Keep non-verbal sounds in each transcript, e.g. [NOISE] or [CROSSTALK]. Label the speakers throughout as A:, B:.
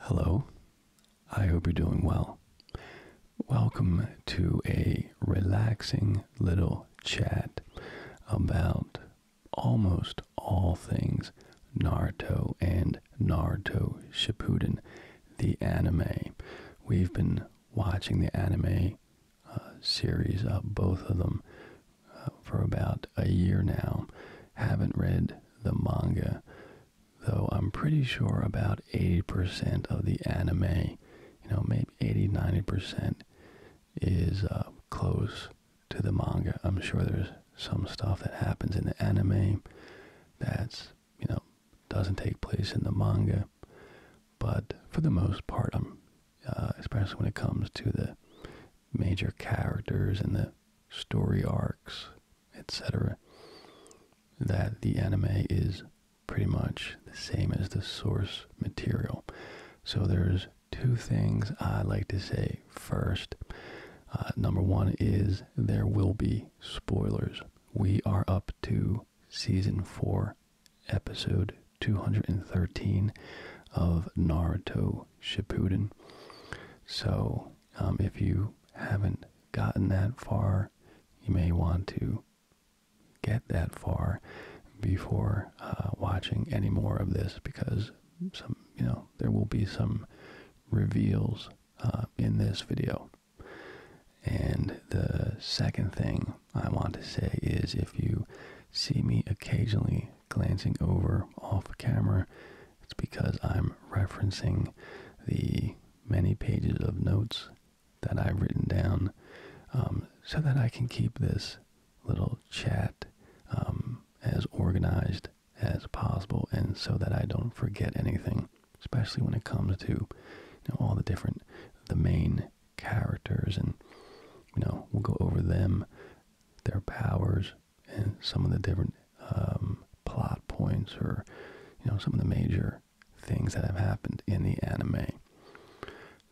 A: Hello, I hope you're doing well. Welcome to a relaxing little chat about almost all things Naruto and Naruto Shippuden, the anime. We've been watching the anime uh, series of both of them uh, for about a year now. Haven't read the manga, though I'm pretty sure about 80% of the anime, you know, maybe 80 90% is uh, close to the manga. I'm sure there's some stuff that happens in the anime that's, you know, doesn't take place in the manga. But for the most part, I'm, uh, especially when it comes to the major characters and the story arcs etc., that the anime is pretty much the same as the source material. So there's two things I like to say first. Uh, number one is there will be spoilers. We are up to season four, episode 213 of Naruto Shippuden. So um, if you haven't gotten that far, you may want to get that far before uh, watching any more of this because some, you know, there will be some reveals uh, in this video. And the second thing I want to say is if you see me occasionally glancing over off camera, it's because I'm referencing the many pages of notes that I've written down um, so that I can keep this little chat um, as organized as possible and so that I don't forget anything, especially when it comes to all the different, the main characters and, you know, we'll go over them, their powers, and some of the different um, plot points or you know some of the major things that have happened in the anime.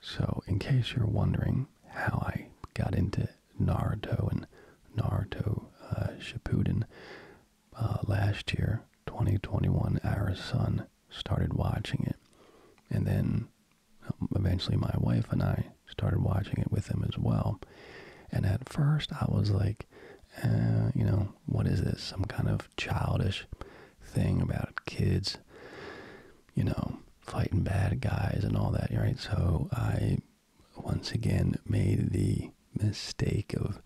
A: So, in case you're wondering how I got into Naruto and Naruto uh, Shippuden uh, last year, 2021, our son started watching it, and then um, eventually my wife and I started watching it with him as well. And at first, I was like, eh, you know, what is this? Some kind of childish thing about kids, you know, fighting bad guys and all that, right? So I once again made the mistake of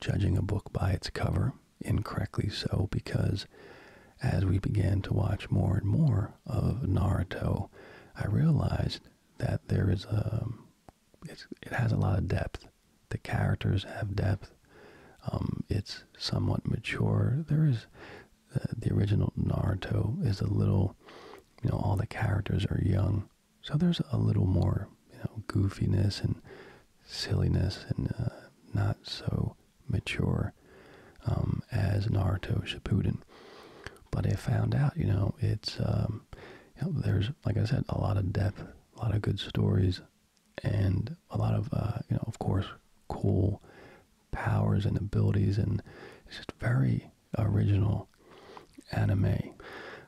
A: judging a book by its cover, incorrectly so, because as we began to watch more and more of Naruto, I realized that there is a, um, it's, it has a lot of depth. The characters have depth. Um, it's somewhat mature. There is the original Naruto is a little, you know, all the characters are young, so there's a little more, you know, goofiness and silliness and uh, not so mature um, as Naruto Shippuden. But I found out, you know, it's um, there's like I said, a lot of depth, a lot of good stories, and a lot of uh, you know, of course, cool powers and abilities, and it's just very original anime.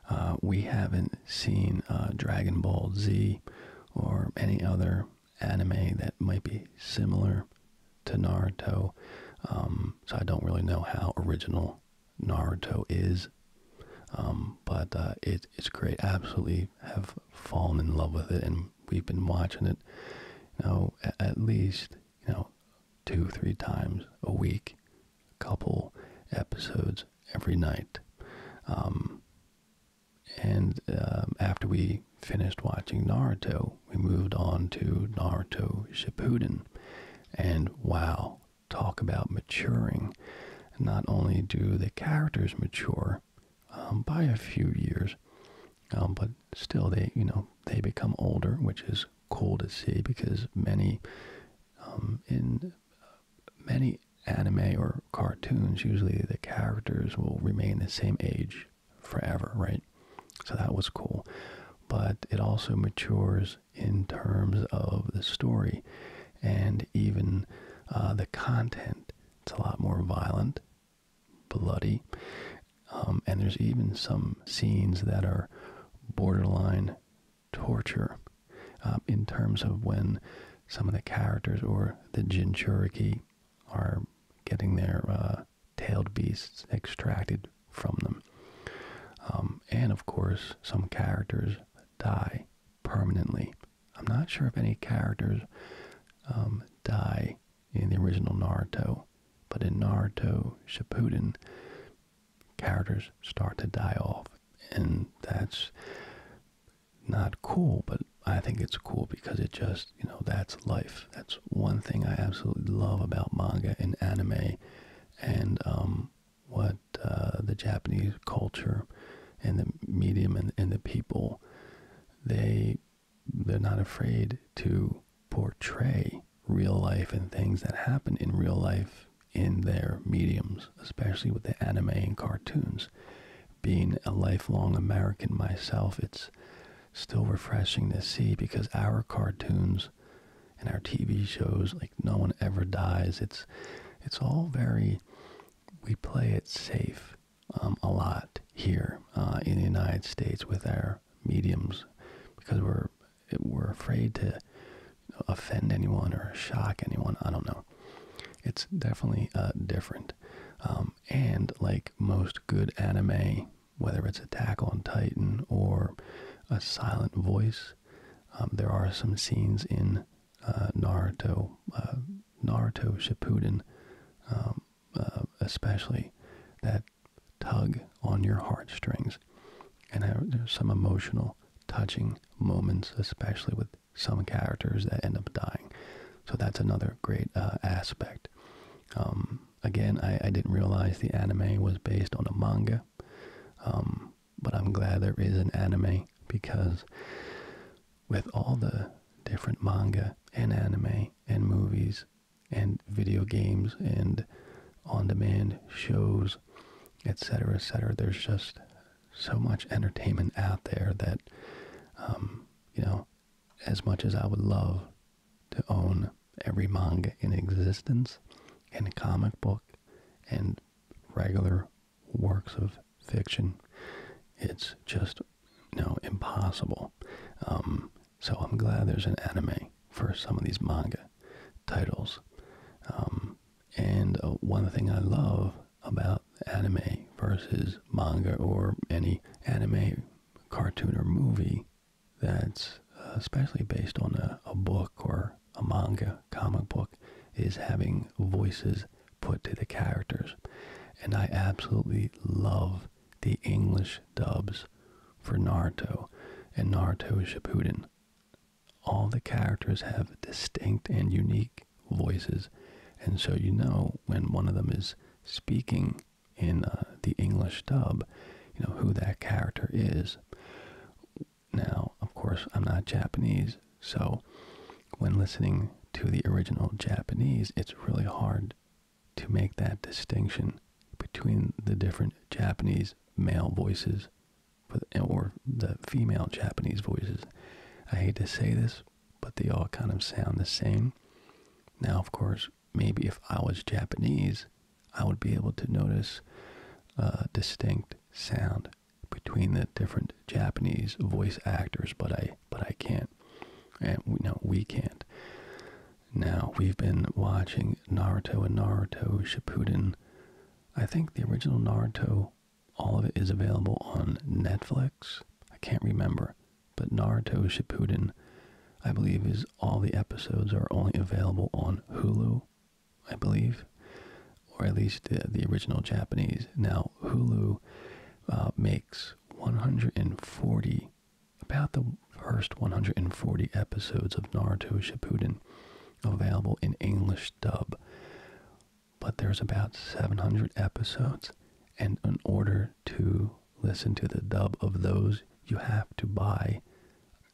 A: Uh, we haven't seen uh, Dragon Ball Z or any other anime that might be similar to Naruto, um, so I don't really know how original Naruto is. Um, but uh, it, it's great. Absolutely have fallen in love with it, and we've been watching it, you know, at, least you know, two, three times a week, a couple episodes every night. Um, and um, after we finished watching Naruto, we moved on to Naruto Shippuden, and wow, talk about maturing. Not only do the characters mature um, by a few years, um, but still they, you know, they become older, which is cool to see because many um, in many anime or cartoons, usually the characters will remain the same age forever, right? So that was cool. But it also matures in terms of the story and even uh, the content. It's a lot more violent, bloody, um, and there's even some scenes that are borderline torture um, in terms of when some of the characters or the Jinchuriki are getting their uh, tailed beasts extracted from them. Um, and of course, some characters die permanently. I'm not sure if any characters um, die in the original Naruto, but in Naruto Shippuden, characters start to die off. And that's not cool, but I think it's cool because it just, you know, that's life. That's one thing I absolutely love about manga and anime and um, what uh, the Japanese culture and the medium and, the people they they're not afraid to portray real life and things that happen in real life in their mediums, especially with the anime and cartoons. Being a lifelong American myself, it's still refreshing to see because our cartoons and our TV shows no one ever dies it's it's all very we play it safe um, a lot here uh, in the United States with our mediums because we're we're afraid to offend anyone or shock anyone I don't know it's definitely uh, different um, and like most good anime whether it's Attack on Titan or a silent voice um, there are some scenes in uh, Naruto, uh, Naruto Shippuden, um, uh, especially that tug on your heartstrings, and there's some emotional, touching moments, especially with some characters that end up dying. So that's another great aspect. Um, again, I, didn't realize the anime was based on a manga but I'm glad there is an anime because with all the different manga and anime and movies and video games and on demand shows, etc., etc., there's just so much entertainment out there that, um, you know, as much as I would love to own every manga in existence and comic book and regular works of fiction. It's just you impossible. Um, so I'm glad there's an anime for some of these manga titles. Um, and uh, one thing I love about anime versus manga or any anime cartoon or movie that's uh, especially based on a book or a manga comic book is having voices put to the characters. And I absolutely love the English dubs for Naruto and Naruto Shippuden. All the characters have distinct and unique voices, and so you know when one of them is speaking in uh, the English dub, you know who that character is. Now, of course, I'm not Japanese, so when listening to the original Japanese, it's really hard to make that distinction between the different Japanese male voices or the female Japanese voices. I hate to say this, but they all kind of sound the same. Now, of course, maybe if I was Japanese I would be able to notice a distinct sound between the different Japanese voice actors, but I but I can't, and we, no, we can't. Now we've been watching Naruto and Naruto Shippuden. I think the original Naruto, all of it is available on Netflix. I can't remember, but Naruto Shippuden, I believe, is all the episodes are only available on Hulu. I believe, or at least the, original Japanese. Now, Hulu uh, makes 140, about the first 140 episodes of Naruto Shippuden available in English dub. But there's about 700 episodes, and in order to listen to the dub of those, you have to buy,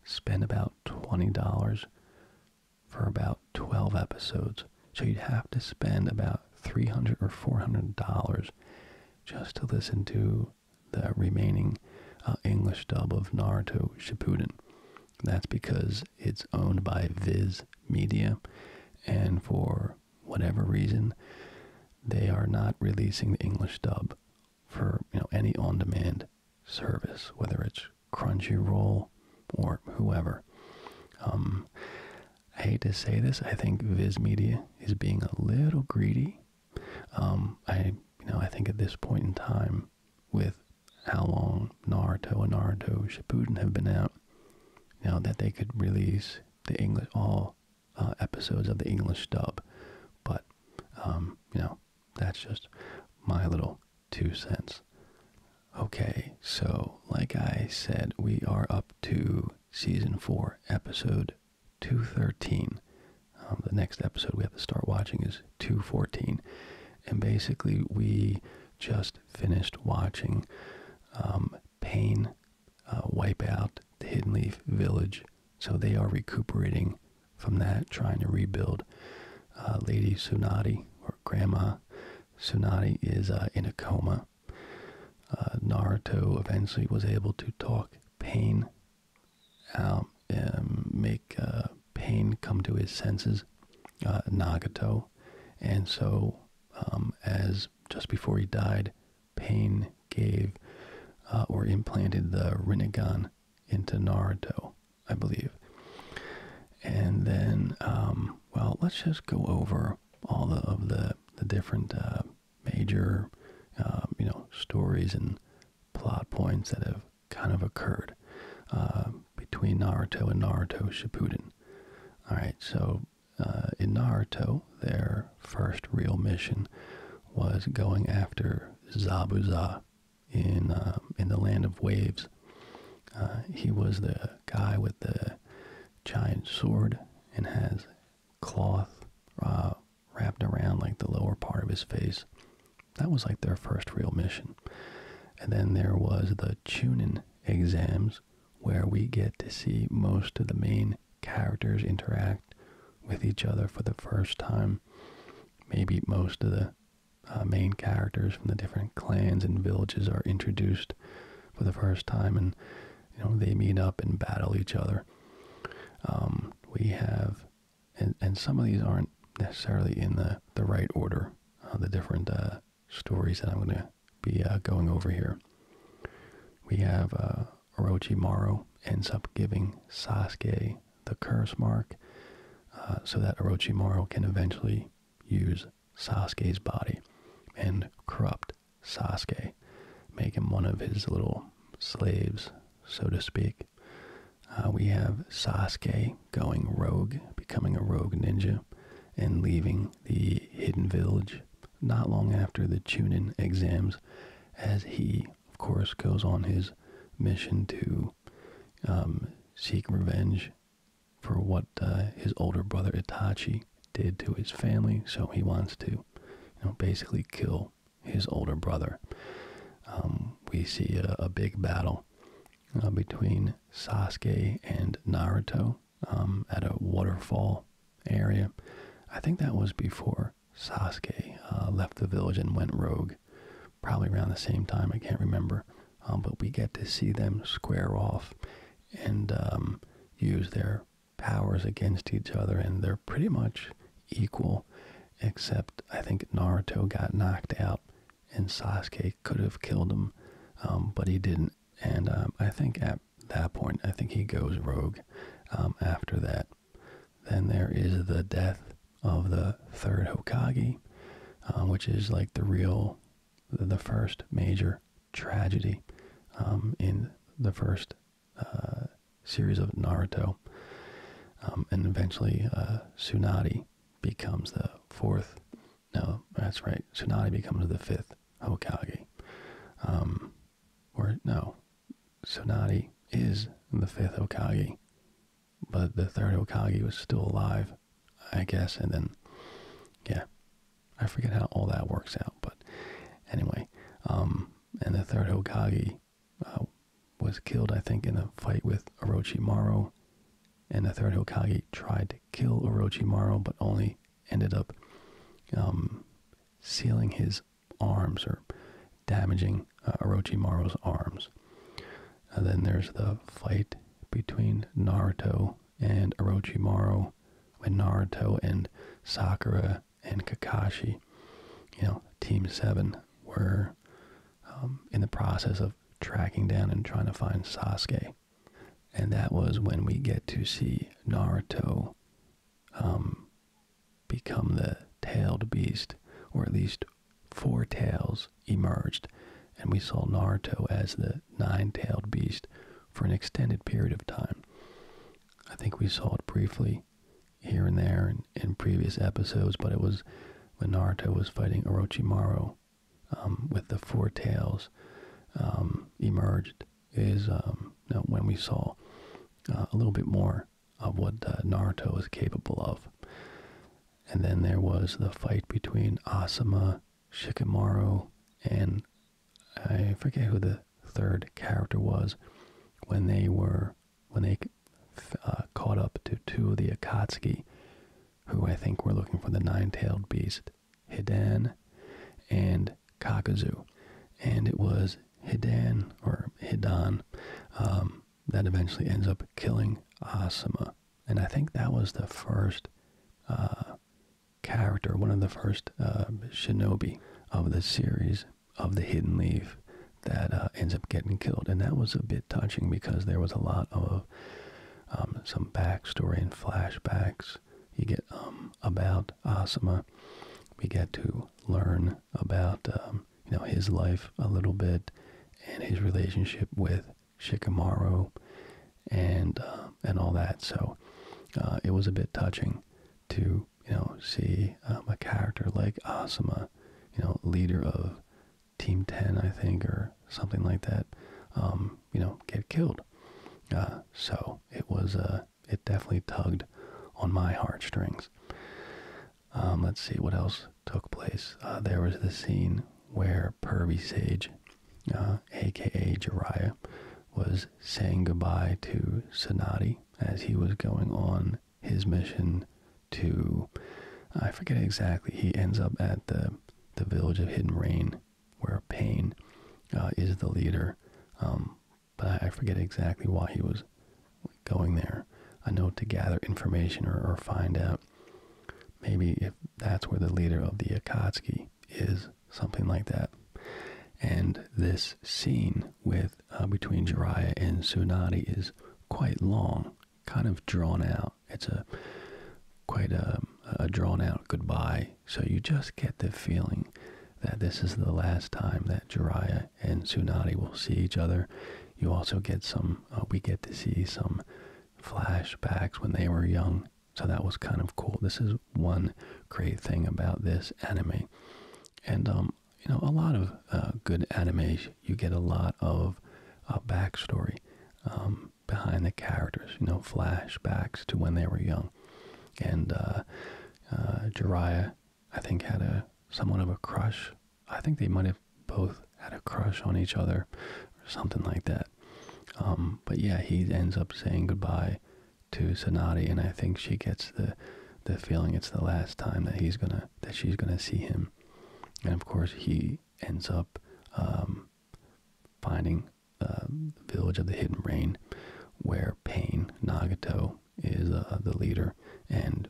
A: spend about $20 for about 12 episodes. So you'd have to spend about 300 or 400 dollars just to listen to the remaining uh, English dub of Naruto Shippuden. That's because it's owned by Viz Media, and for whatever reason, they are not releasing the English dub for any on-demand service, whether it's Crunchyroll, or whoever. Um, I hate to say this, I think Viz Media is being a little greedy. Um, I, you know, I think at this point in time, with how long Naruto and Naruto Shippuden have been out, now that they could release the English all uh, episodes of the English dub, but um, you know that's just my little two cents. Okay, so like I said, we are up to season four, episode 213. Um, the next episode we have to start watching is 214. And basically, we just finished watching um, Pain uh, wipe out the Hidden Leaf Village. So they are recuperating from that, trying to rebuild. Uh, Lady Sunadi, or Grandma Sunadi, is uh, in a coma. Uh, Naruto eventually was able to talk pain out, um, make pain come to his senses, uh, Nagato. And so, um, as just before he died, pain gave or implanted the Rinnegan into Naruto. I believe. And then, um, well, let's just go over all of the, the different uh, major, um, you know, stories and plot points that have kind of occurred uh, between Naruto and Naruto Shippuden. All right, so uh, in Naruto, their first real mission was going after Zabuza, in uh, in the land of waves. Uh, he was the guy with the giant sword and has cloth uh, wrapped around like the lower part of his face. That was like their first real mission. And then there was the tuning exams, where we get to see most of the main characters interact with each other for the first time. Maybe most of the uh, main characters from the different clans and villages are introduced for the first time, and you know they meet up and battle each other. Um, we have, and and some of these aren't necessarily in the the right order. Uh, the different uh, stories that I'm going to be going over here. We have uh, Orochimaru ends up giving Sasuke the curse mark uh, so that Orochimaru can eventually use Sasuke's body and corrupt Sasuke, make him one of his little slaves, so to speak. Uh, we have Sasuke going rogue, becoming a rogue ninja, and leaving the hidden village not long after the Chunin exams, as he, of course, goes on his mission to um, seek revenge for what uh, his older brother Itachi did to his family. So he wants to, you know, basically kill his older brother. Um, we see a, big battle uh, between Sasuke and Naruto um, at a waterfall area. I think that was before Sasuke uh, left the village and went rogue, probably around the same time. I can't remember, um, but we get to see them square off and um, use their powers against each other, and they're pretty much equal, except I think Naruto got knocked out, and Sasuke could have killed him, um, but he didn't. And I think at that point, I think he goes rogue after that. Then there is the death of the third Hokage, uh, which is like the real, the first major tragedy um, in the first uh, series of Naruto. Um, and eventually, uh, becomes the fourth. No, that's right. Tsunade becomes the fifth Hokage. Um, or no, Tsunade is the fifth Hokage but the third Hokage was still alive, I guess. And then, yeah, I forget how all that works out. But anyway, um, and the third Hokage uh, was killed, I think, in a fight with Orochimaru. And the third Hokage tried to kill Orochimaru, but only ended up um, sealing his arms or damaging uh, Orochimaru's arms. then there's the fight between Naruto and Orochimaru, with Naruto and Sakura and Kakashi, you know, Team Seven were um, in the process of tracking down and trying to find Sasuke, and that was when we get to see Naruto um, become the tailed beast, or at least four tails emerged, and we saw Naruto as the nine tailed beast for an extended period of time. I think we saw it briefly here and there in, previous episodes, but it was when Naruto was fighting Orochimaru um, with the four tails um, emerged is um, when we saw uh, a little bit more of what uh, Naruto is capable of. And then there was the fight between Asuma, Shikamaru, and I forget who the third character was when they were when they uh, caught up to two of the Akatsuki, who I think were looking for the nine-tailed beast, Hidan and Kakuzu, and it was Hidan or Hidan um, that eventually ends up killing Asuma. And I think that was the first uh, character, one of the first uh, shinobi of the series of the Hidden Leaf that uh, ends up getting killed. And that was a bit touching because there was a lot of um, some backstory and flashbacks you get um, about Asuma. We get to learn about um, you know his life a little bit and his relationship with Shikamaru and uh, and all that. So uh, it was a bit touching to you know see um, a character like Asuma, you know, leader of Team Ten, I think, or something like that, um, you know, get killed. Uh, so it was it definitely tugged on my heartstrings. Um, let's see what else took place. there was the scene where Purvey Sage, aka uh, Jiraiya, was saying goodbye to Sonati as he was going on his mission to I forget exactly. He ends up at the the village of Hidden Rain, where Pain uh, is the leader. Um, but I forget exactly why he was going there. I know to gather information or find out maybe if that's where the leader of the Akatsuki is, something like that. And this scene with uh, between Jiraiya and Tsunade is quite long, kind of drawn out. It's a quite a, um, a drawn out goodbye. So you just get the feeling that this is the last time that Jiraiya and Tsunade will see each other. You also get some, uh, we get to see some flashbacks when they were young. So that was kind of cool. This is one great thing about this anime. And, um, you know, a lot of uh, good animes, you get a lot of uh, backstory um, behind the characters, you know, flashbacks to when they were young. And uh, uh I think, had a somewhat of a crush. I think they might have both had a crush on each other or something like that. Um, but yeah, he ends up saying goodbye to Sonati, and I think she gets the the feeling it's the last time that he's gonna that she's gonna see him. And of course, he ends up um, finding um, the village of the Hidden Rain, where Pain Nagato is uh, the leader, and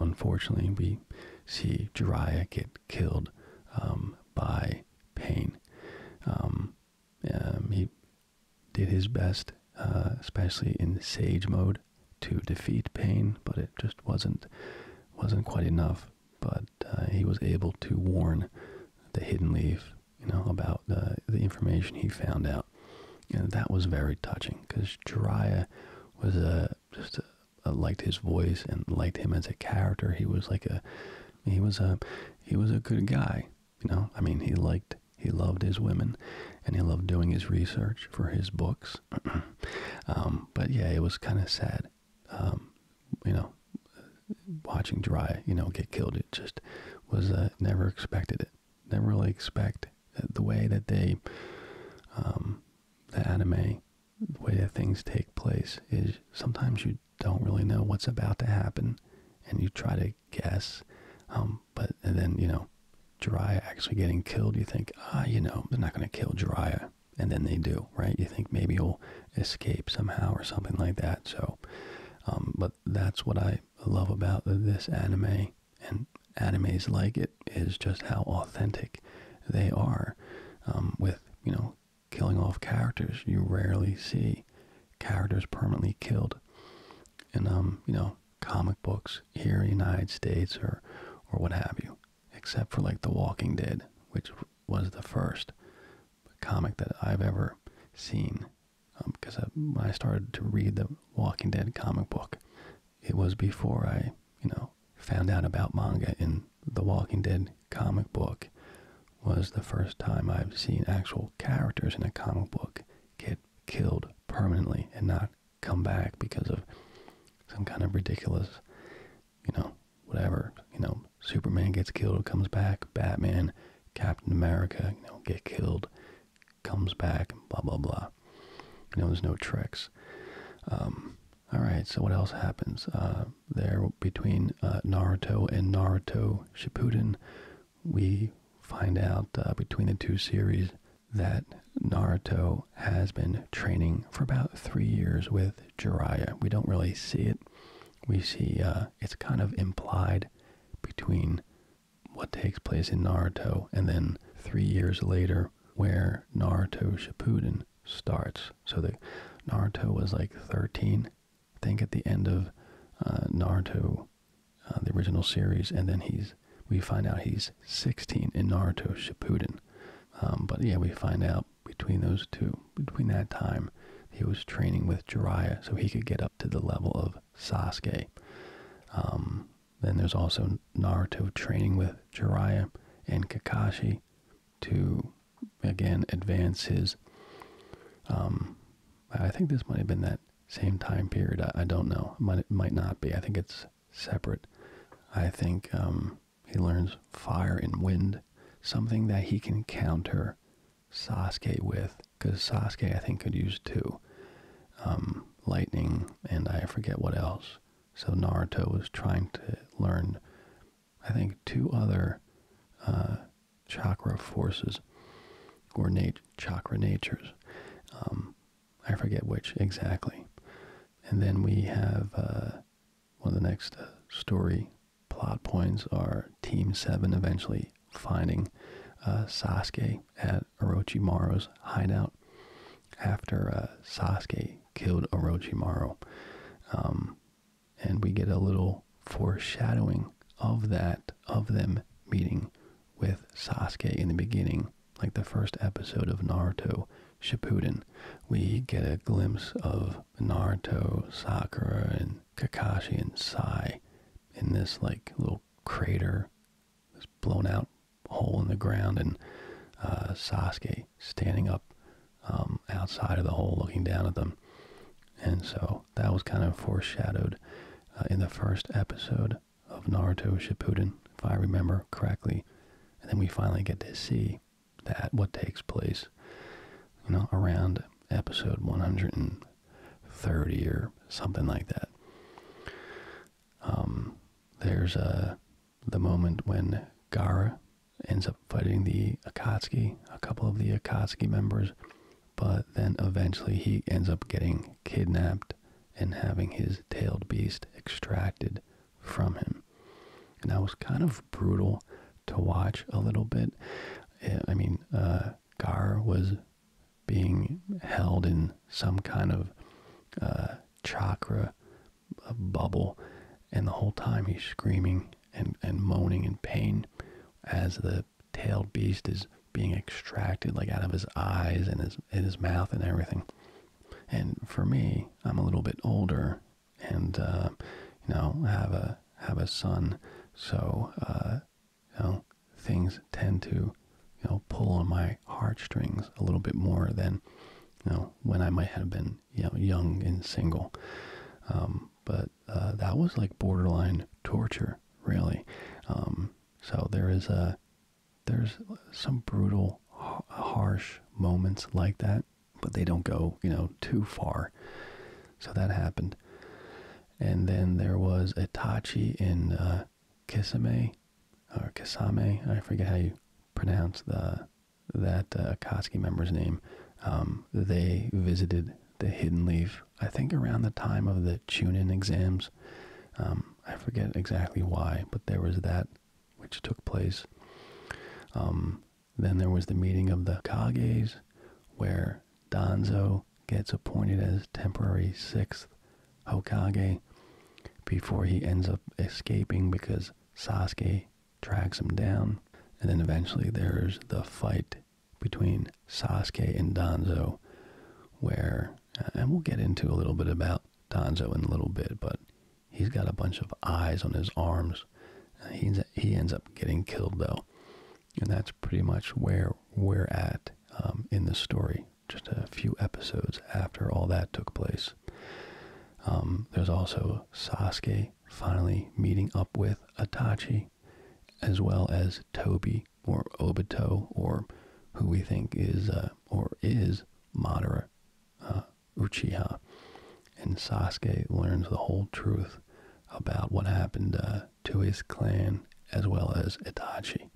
A: unfortunately, we see Jiraiya get killed by pain. Um, um, he did his best, uh, especially in Sage mode, to defeat pain, but it just wasn't wasn't quite enough. But uh, he was able to warn the hidden leaf, you know, about uh, the information he found out, and that was very touching because Jiraiya was a just a, uh, liked his voice and liked him as a character. He was like a, he was a, he was a good guy. You know, I mean, he liked, he loved his women, and he loved doing his research for his books. [CLEARS THROAT] um, but yeah, it was kind of sad. Um, you know, watching Dry, you know, get killed. It just was uh, never expected it. Never really expect uh, the way that they, um, the anime the way that things take place is sometimes you don't really know what's about to happen and you try to guess um, but then you know Jiraiya actually getting killed you think ah you know they're not going to kill Jiraiya and then they do right you think maybe he'll escape somehow or something like that so um, but that's what I love about this anime and animes like it is just how authentic they are um, with you know killing off characters. You rarely see characters permanently killed in, um, you know, comic books here in the United States or, or what have you, except for like The Walking Dead, which was the first comic that I've ever seen. because um, I started to read the Walking Dead comic book, it was before I, you know, found out about manga in the Walking Dead comic book was the first time I've seen actual characters in a comic book get killed permanently and not come back because of some kind of ridiculous, you know, whatever, you know, Superman gets killed, comes back, Batman, Captain America, you know, get killed, comes back, blah, blah, blah. You know, there's no tricks. Um, all right, so what else happens uh, there between uh, Naruto and Naruto Shippuden? We find out uh, between the two series that Naruto has been training for about three years with Jiraiya. We don't really see it. We see it's kind of implied between what takes place in Naruto and then three years later where Naruto Shippuden starts. So the Naruto was like 13, I think, at the end of uh, Naruto, uh, the original series, and then he's we find out he's 16 in Naruto Shippuden. Um, but yeah, we find out between those two, between that time, he was training with Jiraiya so he could get up to the level of Sasuke. Um, then there's also Naruto training with Jiraiya and Kakashi to again advance his. Um, I think this might have been that same time period. I, don't know. It might might not be. I think it's separate. I think um, he learns fire and wind, something that he can counter Sasuke with, because Sasuke I think could use two, um, lightning and I forget what else. So Naruto is trying to learn I think, two other uh, chakra forces or nat chakra natures. Um, I forget which exactly. And then we have uh, one of the next uh, story plot points are Team 7 eventually finding uh, Sasuke at Orochimaru's hideout after Sasuke killed Orochimaru. Um, and we get a little foreshadowing of that of them meeting with Sasuke in the beginning, like the first episode of Naruto Shippuden. We get a glimpse of Naruto, Sakura, and Kakashi and Sai in this like little crater, this blown out hole in the ground, and uh, Sasuke standing up um, outside of the hole looking down at them. And so that was kind of foreshadowed uh, in the first episode of Naruto Shippuden, if I remember correctly. And then we finally get to see that, what takes place, you know, around episode 130 or something like that. Um, there's a the moment when Gara ends up fighting the Akatsuki, a couple of the Akatsuki members, but then eventually he ends up getting kidnapped and having his tailed beast extracted from him. And that was kind of brutal to watch a little bit. Eh, I mean, uh, Gar was being held in some kind of uh, chakra a bubble, and the whole time he's screaming and, and moaning in pain as the tailed beast is being extracted like out of his eyes and his and his mouth and everything. And for me, I'm a little bit older, and uh, you know, have a have a son, so uh, you know, things tend to you know pull on my heartstrings a little bit more than you know when I might have been and young and single. Um, but uh, that was like borderline torture, really. Um, so there is a there's some brutal, harsh moments like that, but they don't go you know too far. So that happened, and then there was Itachi in uh, Kisame or Kisame. I forget how you pronounce the that uh, Katsuki member's name, um, they visited the Hidden Leaf, I think around the time of the Chunin exams. Um, I forget exactly why, but there was that which took place. Um, then there was the meeting of the Kages, where Danzo gets appointed as temporary sixth Hokage before he ends up escaping because Sasuke drags him down. And then eventually there's the fight between Sasuke and Danzo, where, uh, and we'll get into a little bit about Danzo in a little bit, but he's got a bunch of eyes on his arms. Uh, he's, he ends up getting killed though. And that's pretty much where we're at um, in this story, just a few episodes after all that took place. Um, there's also Sasuke finally meeting up with Itachi, as well as Toby or Obito, or who we think is uh, or is Madara uh, Uchiha. And Sasuke learns the whole truth about what happened uh, to his clan as well as Itachi.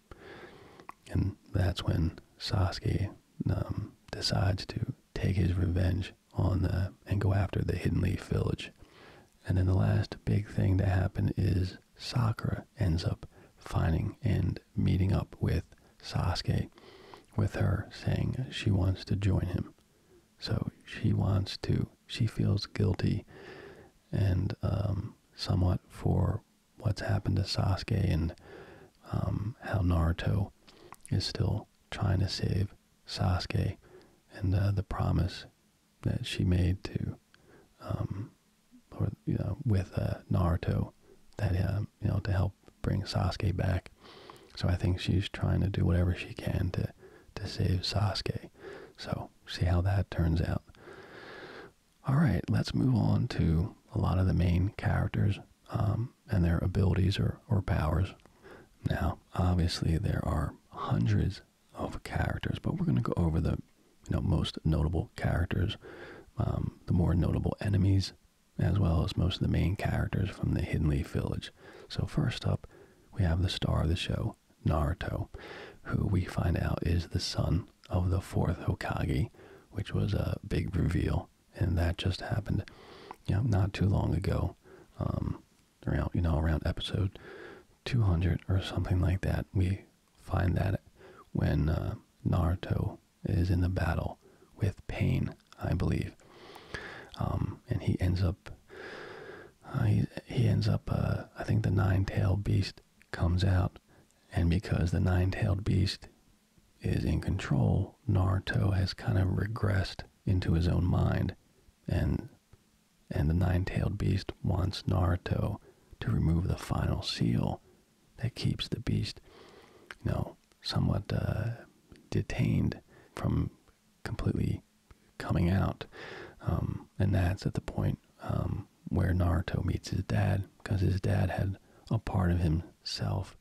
A: And that's when Sasuke um, decides to take his revenge on the uh, and go after the Hidden Leaf Village. And then the last big thing to happen is Sakura ends up finding and meeting up with Sasuke, with her saying she wants to join him. So she wants to, she feels guilty and um, somewhat for what's happened to Sasuke and um, how Naruto is still trying to save save Sasuke and uh, the promise that she made to, um, or you know, with uh, Naruto, that uh, you know to help bring Sasuke back. So I think she's trying to do whatever she can to to save Sasuke. So see how that turns out. All right, let's move on to a lot of the main characters. Um, and their abilities or, or powers. Now, obviously, there are hundreds of characters, but we're going to go over the you know, most notable characters, um, the more notable enemies, as well as most of the main characters from the Hidden Leaf Village. So first up, we have the star of the show, Naruto, who we find out is the son of the fourth Hokage, which was a big reveal, and that just happened, you not too long ago. Um, around you know around episode 200 or something like that we find that when uh, naruto is in the battle with pain i believe um, and he ends up uh, he, he ends up uh, i think the nine-tailed beast comes out and because the nine-tailed beast is in control naruto has kind of regressed into his own mind and and the nine-tailed beast wants Naruto to remove the final seal that keeps the beast, you know, somewhat uh, detained from completely coming out. Um, and that's at the point um, where Naruto meets his dad, because his dad had a part of himself,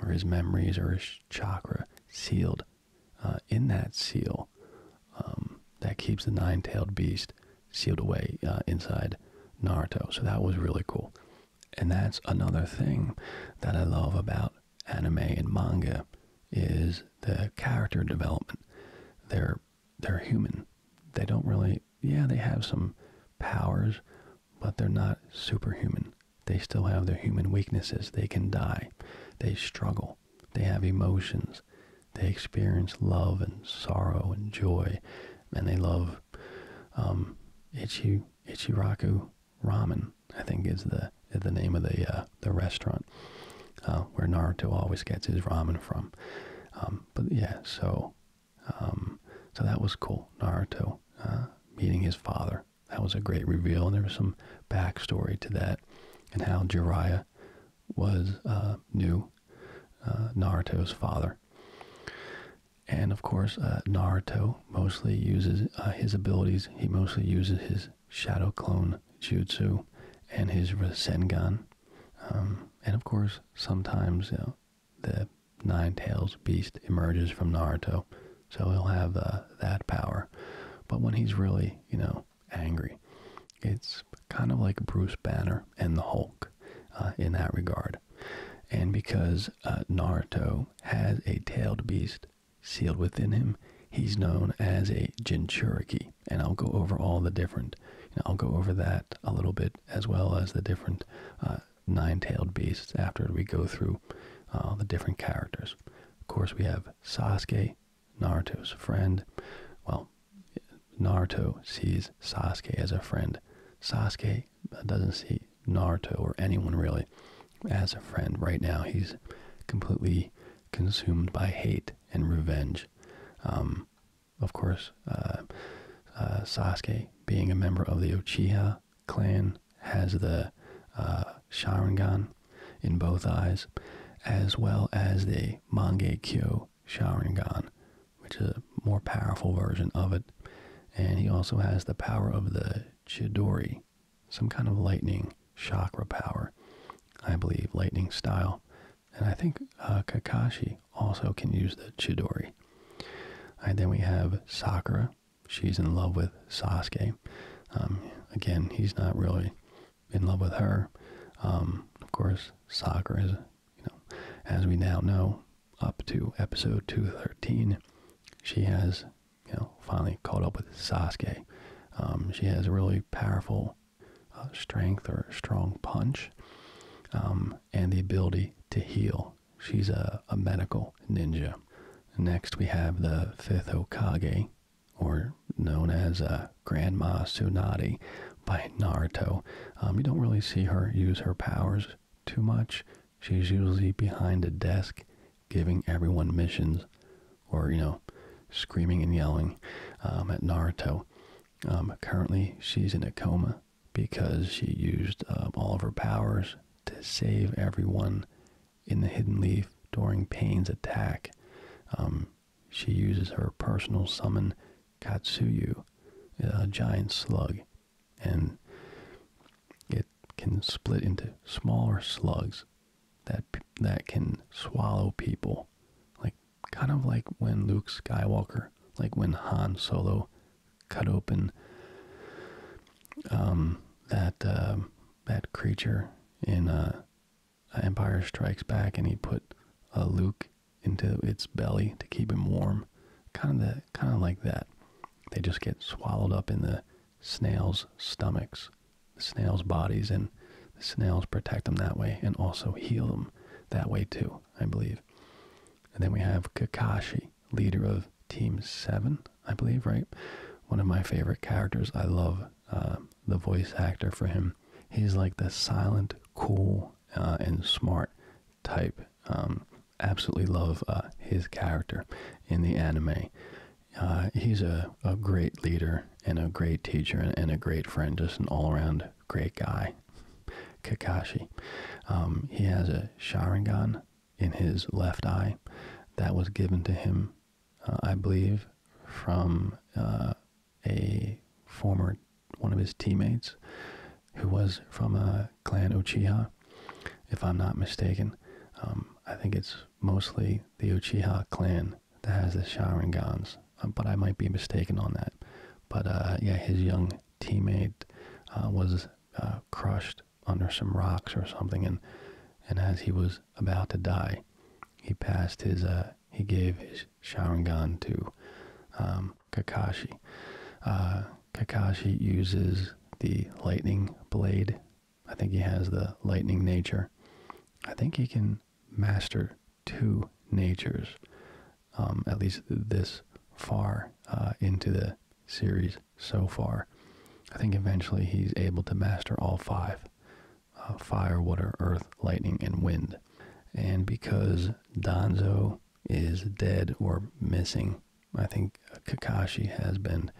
A: or his memories, or his chakra sealed uh, in that seal um, that keeps the nine-tailed beast sealed away uh, inside Naruto. So that was really cool. And that's another thing that I love about anime and manga is the character development. They're they're human. They don't really yeah, they have some powers, but they're not superhuman. They still have their human weaknesses. They can die. They struggle. They have emotions. They experience love and sorrow and joy. And they love um, Ichi, Ichiraku Ramen, I think is the the name of the uh, the restaurant uh, where Naruto always gets his ramen from. Um, but yeah, so um, so that was cool. Naruto uh, meeting his father that was a great reveal, and there was some backstory to that, and how Jiraiya was uh, new uh, Naruto's father. And of course, uh, Naruto mostly uses uh, his abilities. He mostly uses his Shadow Clone Jutsu and his Rasengan. Um, and of course, sometimes the Nine Tails beast emerges from Naruto. So he'll have uh, that power. But when he's really, you know, angry, it's kind of like Bruce Banner and the Hulk uh, in that regard. And because uh, Naruto has a tailed beast sealed within him, he's known as a Jinchuriki. And I'll go over all the different, I'll go over that a little bit as well as the different nine tailed beasts after we go through the different characters. Of course, we have Sasuke, Naruto's friend. Well, Naruto sees Sasuke as a friend. Sasuke doesn't see Naruto or anyone really as a friend right now. He's completely consumed by hate and revenge. Um, of course, uh, uh, Sasuke being a member of the Uchiha clan has the uh, Sharingan in both eyes, as well as the Mangekyo Sharingan, which is a more powerful version of it. And he also has the power of the Chidori, some kind of lightning chakra power, I believe, lightning style. And I think uh, Kakashi also can use the Chidori. And then we have Sakura, she's in love with Sasuke. Um, again, he's not really in love with her. Um, of course, Sakura is, you know, as we now know, up to episode 213, she has, you know, finally caught up with Sasuke. Um, she has a really powerful uh, strength or strong punch and the ability to heal. She's a, a medical ninja. Next, we have the fifth Okage, or known as uh, Grandma Tsunade by Naruto. Um, you don't really see her use her powers too much. She's usually behind a desk giving everyone missions or, you know, screaming and yelling um, at Naruto. Um, currently, she's in a coma because she used all of her powers to save everyone in the hidden leaf during Pain's attack. Um, she uses her personal summon Katsuyu, a giant slug, and it can split into smaller slugs that that can swallow people, like kind of like when Luke Skywalker, like when Han Solo cut open um, that uh, that creature in uh, Empire Strikes Back, and he put a Luke into its belly to keep him warm. Kind of, kind of like that. They just get swallowed up in the snails' stomachs, snails' bodies, and the snails protect them that way, and also heal them that way too, I believe. And then we have Kakashi, leader of Team Seven. I believe, right? One of my favorite characters. I love uh, the voice actor for him. He's like the silent, cool, uh, and smart type. Um, absolutely love uh, his character in the anime. he's a, great leader and a great teacher and, a great friend, just an all around great guy. Kakashi. Um, he has a Sharingan in his left eye that was given to him uh, I believe, from uh, a former one of his teammates who was from a clan Uchiha, if I'm not mistaken. Um, I think it's mostly the Uchiha clan that has the Sharingans, um, but I might be mistaken on that. But uh, yeah, his young teammate was crushed under some rocks or something, and and as he was about to die, he passed his uh he gave his Sharingan to um, Kakashi. Uh, Kakashi uses the lightning blade. I think he has the lightning nature. I think he can master two natures, um, at least this far uh, into the series so far. I think eventually he's able to master all five. Uh, fire, water, earth, lightning, and wind. And because Danzo is dead or missing, I think Kakashi has been,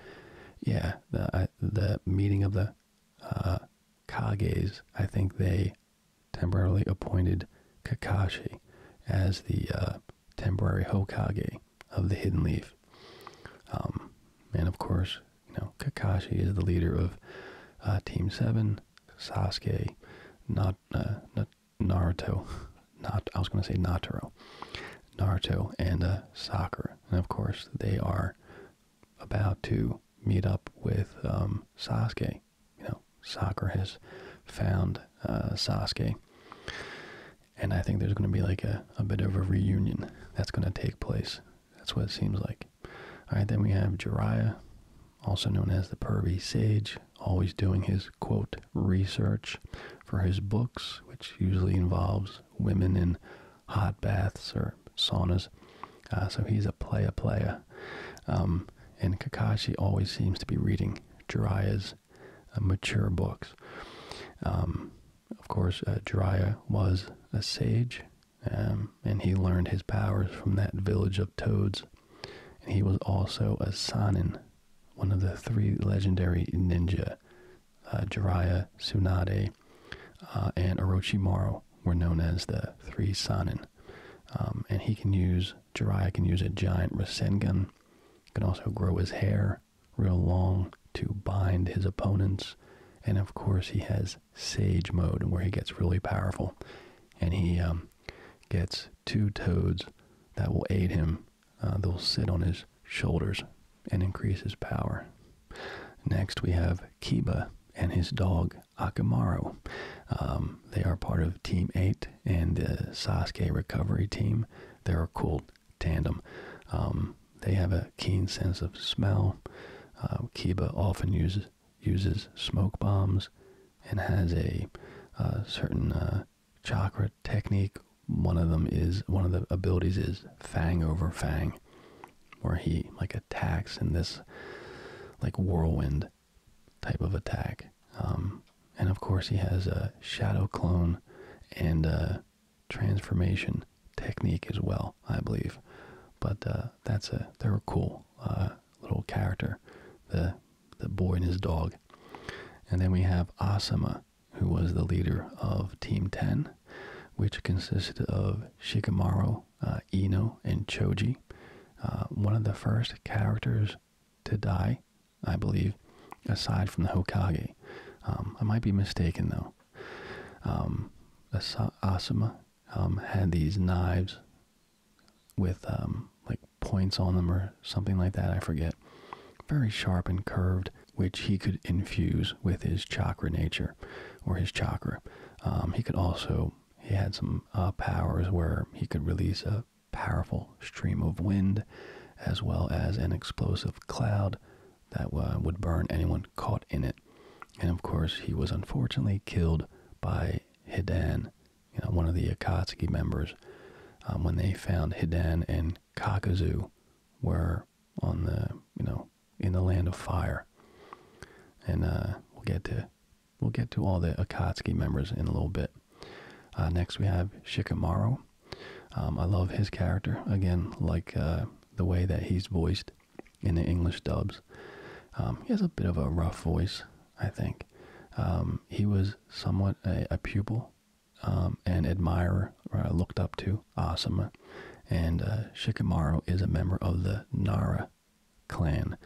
A: yeah, the, meeting of the uh, Kages, I think they temporarily appointed Kakashi as the uh, temporary Hokage of the Hidden Leaf. Um, and of course, you know, Kakashi is the leader of uh, Team Seven. Sasuke, not uh, not Naruto, [LAUGHS] not I was going to say Naruto, Naruto and uh, Sakura, and of course they are about to meet up with um, Sasuke. You know, Sakura has found uh, Sasuke, and I think there's going to be like a, a bit of a reunion that's going to take place. That's what it seems like. All right, then we have Jeriah, also known as the Pervy Sage, always doing his quote research for his books, which usually involves women in hot baths or saunas. Uh, so he's a playa playa. Um, and Kakashi always seems to be reading Jiraiya's uh, mature books. Um, of course, Jiraiya uh, was a sage, um, and he learned his powers from that village of toads. And he was also a Sanin, one of the three legendary ninja. Jiraiya, uh, Sunade, uh, and Orochimaru were known as the three Sanin. Um, and he can use, Jiraiya can use a giant Rasengan, can also grow his hair real long to bind his opponents. And of course, he has Sage mode, where he gets really powerful, and he um, gets two toads that will aid him. Uh, they'll sit on his shoulders and increase his power. Next, we have Kiba and his dog Akamaru. Um, they are part of Team 8 and the Sasuke recovery team. They're called tandem. Um, they have a keen sense of smell. Uh, Kiba often uses uses smoke bombs and has a uh, certain uh, chakra technique. One of them is one of the abilities is fang over fang, where he like attacks in this like whirlwind type of attack. Um, and of course, he has a shadow clone and transformation technique as well, I believe. But uh, that's a they are a cool uh, little character, the the boy and his dog. And then we have Asama, who was the leader of Team Ten, which consisted of Shikamaru, uh, Ino, and Choji. one of the first characters to die, I believe, aside from the Hokage. Um, I might be mistaken though. Um, Asama um, had these knives with um, like points on them or something like that. I forget. Very sharp and curved, which he could infuse with his chakra nature or his chakra. he could also, he had some uh, powers where he could release a powerful stream of wind as well as an explosive cloud that uh, would burn anyone caught in it. And of course, he was unfortunately killed by Hidan, you know, one of the Akatsuki members, um, when they found Hidan and Kakazu were on the, you know, in the land of fire. And uh, we'll get to we'll get to all the Akatsuki members in a little bit. Uh, next, we have Shikamaru. Um, I love his character again, like the way that he's voiced in the English dubs. Um, he has a bit of a rough voice, I think. Um, he was somewhat a, pupil um, and admirer, uh, looked up to Asuma, and uh, Shikamaru is a member of the Nara clan.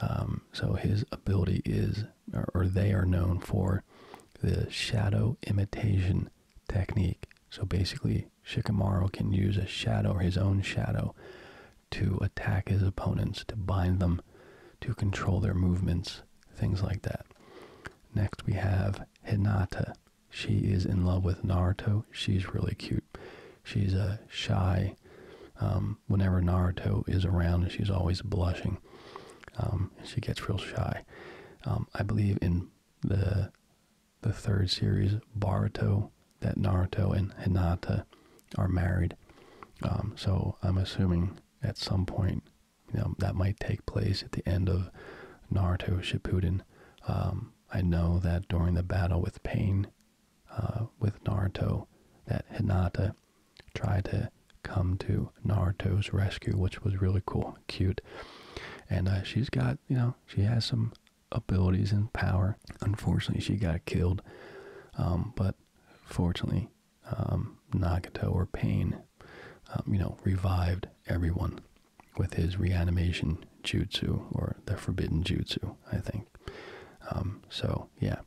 A: Um, so his ability is, or they are known for, the shadow imitation technique. So basically, Shikamaru can use a shadow, his own shadow, to attack his opponents, to bind them, to control their movements, things like that. Next we have Hinata. She is in love with Naruto. She's really cute. She's a shy. Um, whenever Naruto is around, she's always blushing. Um, she gets real shy. Um, I believe in the the third series, Baruto, that Naruto and Hinata are married. Um, so I'm assuming at some point, you know, that might take place at the end of Naruto Shippuden. Um, I know that during the battle with Pain, uh, with Naruto, that Hinata tried to come to Naruto's rescue, which was really cool, cute. And uh, she's got, you know, she has some abilities and power. Unfortunately, she got killed, um, but fortunately, um, Nagato or Pain, um, you know, revived everyone with his reanimation jutsu or the forbidden jutsu, I think. so yeah,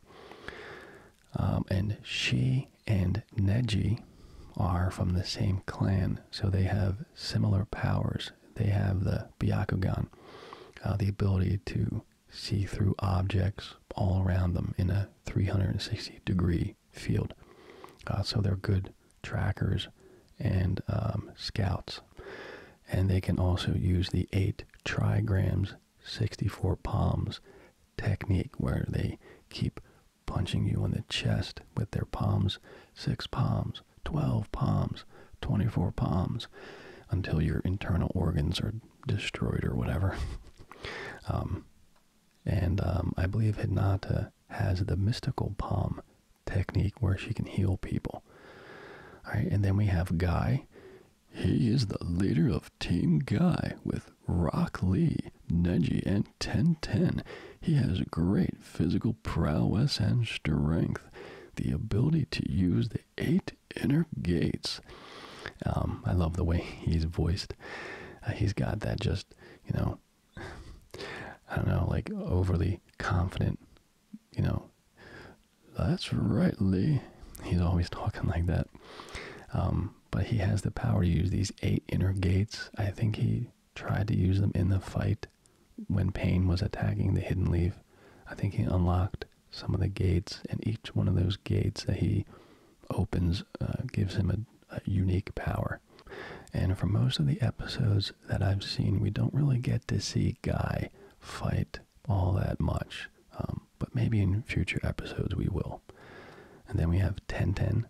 A: and she and Neji are from the same clan, so they have similar powers they have the Byakugan, uh, the ability to see through objects all around them in a 360 degree field. Uh, so they're good trackers and um, scouts. And they can also use the eight trigrams, 64 palms technique where they keep punching you in the chest with their palms, six palms, 12 palms, 24 palms, until your internal organs are destroyed or whatever. [LAUGHS] um, and um, I believe Hinata has the mystical palm technique where she can heal people. All right, and then we have Guy. He is the leader of Team Guy with Rock Lee, Neji, and Ten Ten. He has great physical prowess and strength, the ability to use the eight inner gates. Um, I love the way he's voiced. Uh, he's got that just, you know, I don't know, like overly confident, you know. That's right, Lee. He's always talking like that. Um, but he has the power to use these eight inner gates. I think he tried to use them in the fight when Pain was attacking the Hidden Leaf. I think he unlocked some of the gates, and each one of those gates that he opens uh, gives him a, unique power. And for most of the episodes that I've seen, we don't really get to see Guy fight all that much. Um, but maybe in future episodes we will. And then we have Tenten.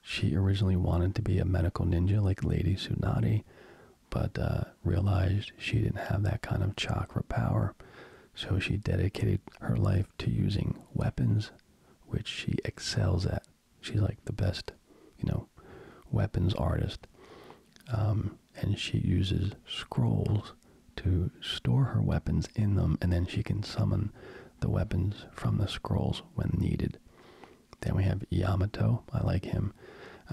A: She originally wanted to be a medical ninja like Lady Tsunade, but uh, realized she didn't have that kind of chakra power. So she dedicated her life to using weapons, which she excels at. She's like the best, you know, weapons artist. Um, and she uses scrolls to store her weapons in them, and then she can summon the weapons from the scrolls when needed. Then we have Yamato. I like him.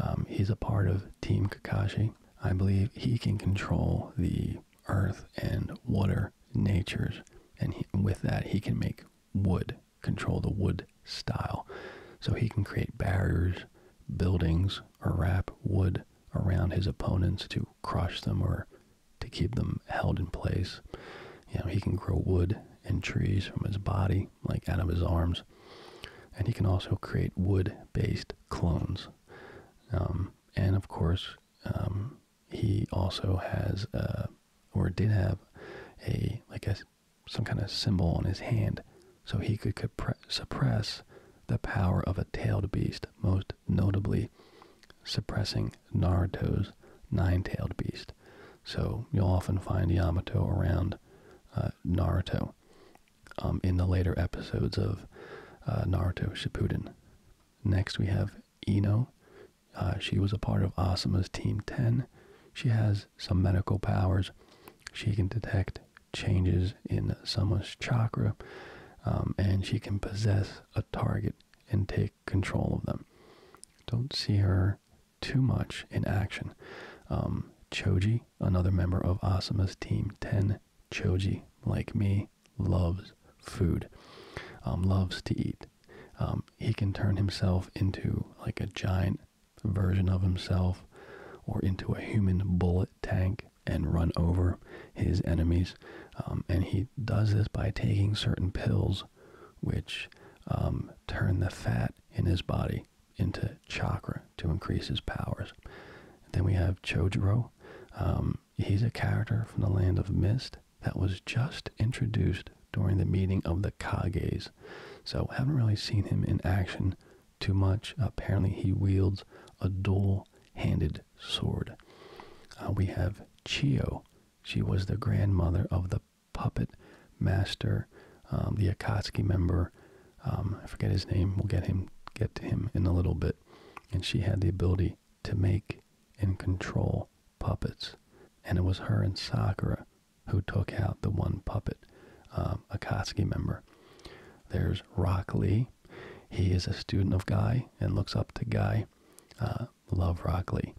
A: Um, he's a part of Team Kakashi. I believe he can control the earth and water natures, and with that, he can make wood, control the wood style. So he can create barriers, buildings, or wrap wood around his opponents to crush them or to keep them held in place. You know, he can grow wood and trees from his body, like out of his arms. And he can also create wood-based clones. Um, and of course, um, he also has, uh, or did have, a like a some kind of symbol on his hand, so he could suppress the power of a tailed beast, most notably suppressing Naruto's nine-tailed beast. So you'll often find Yamato around uh, Naruto um, in the later episodes of uh, Naruto Shippuden. Next, we have Ino. Uh, she was a part of Asuma's Team 10. She has some medical powers. She can detect changes in someone's chakra, um, and she can possess a target and take control of them. Don't see her too much in action. Um, Choji, another member of Asama's Team 10, Choji, like me, loves food, um, loves to eat. Um, he can turn himself into like a giant version of himself or into a human bullet tank and run over his enemies. and he does this by taking certain pills which turn the fat in his body into Chakra to increase his powers. Then we have Chojuro. Um, he's a character from the Land of Mist that was just introduced during the meeting of the Kages. So haven't really seen him in action too much. Apparently he wields a dual-handed sword. Uh, we have Chio. She was the grandmother of the puppet master, um, the Akatsuki member. Um, I forget his name. We'll get him get to him in a little bit. And she had the ability to make and control puppets. And it was her and Sakura who took out the one puppet, um, Akatsuki member. There's Rock Lee. He is a student of Guy and looks up to Guy. Uh, love Rock Lee.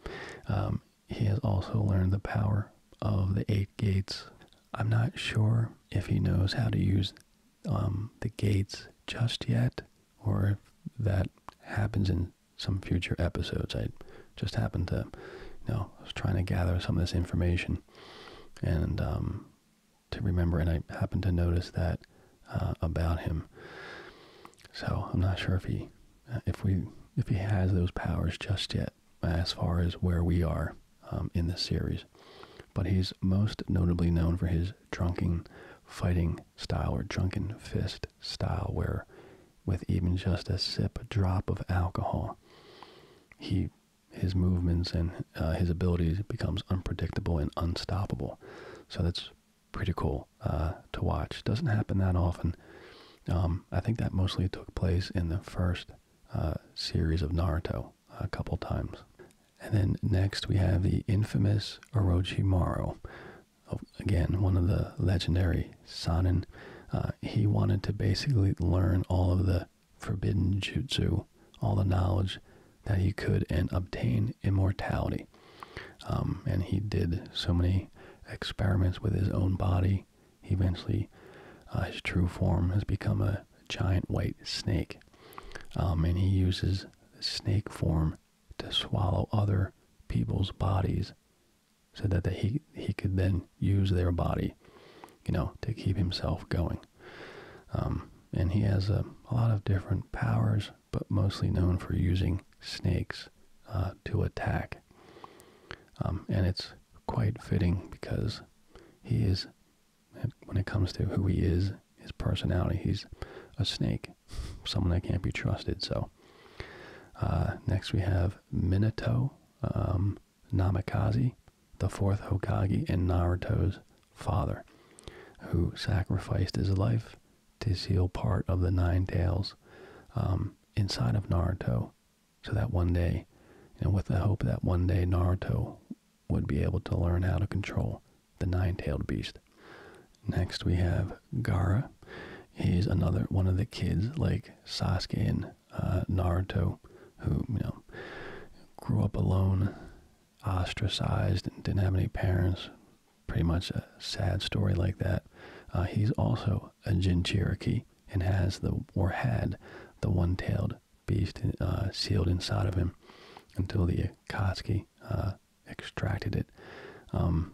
A: he has also learned the power of the eight gates I'm not sure if he knows how to use um, the gates just yet, or if that happens in some future episodes. I just happened to, you know, was trying to gather some of this information and um, to remember, and I happened to notice that uh, about him. So I'm not sure if he, if we, if he has those powers just yet as far as where we are um, in this series. But he's most notably known for his drunken fighting style or drunken fist style, where with even just a sip, a drop of alcohol, he his movements and uh, his abilities becomes unpredictable and unstoppable. So that's pretty cool uh, to watch. Doesn't happen that often. Um, I think that mostly took place in the first uh, series of Naruto a couple times. And then next we have the infamous Orochimaru. Again, one of the legendary Sanin. Uh, he wanted to basically learn all of the forbidden jutsu, all the knowledge that he could, and obtain immortality. Um, and he did so many experiments with his own body tree. Eventually, uh, his true form has become a giant white snake, um, and he uses the snake form to swallow other people's bodies, so that he he could then use their body, you know, to keep himself going. Um, and he has a, lot of different powers, but mostly known for using snakes uh, to attack. Um, and it's quite fitting because he is, when it comes to who he is, his personality, he's a snake, someone that can't be trusted. So uh, next we have Minato, um, Namikaze, the fourth Hokage, and Naruto's father, who sacrificed his life to seal part of the Nine Tails um, inside of Naruto so that one day, and with the hope that one day Naruto would be able to learn how to control the nine-tailed beast. Next we have Gara. He's another one of the kids like Sasuke and uh, Naruto, who you know grew up alone, ostracized, and didn't have any parents. Pretty much a sad story like that. Uh, he's also a Jin Cherokee and has the or had the one-tailed beast uh, sealed inside of him until the Akatsuki uh, extracted it. Um,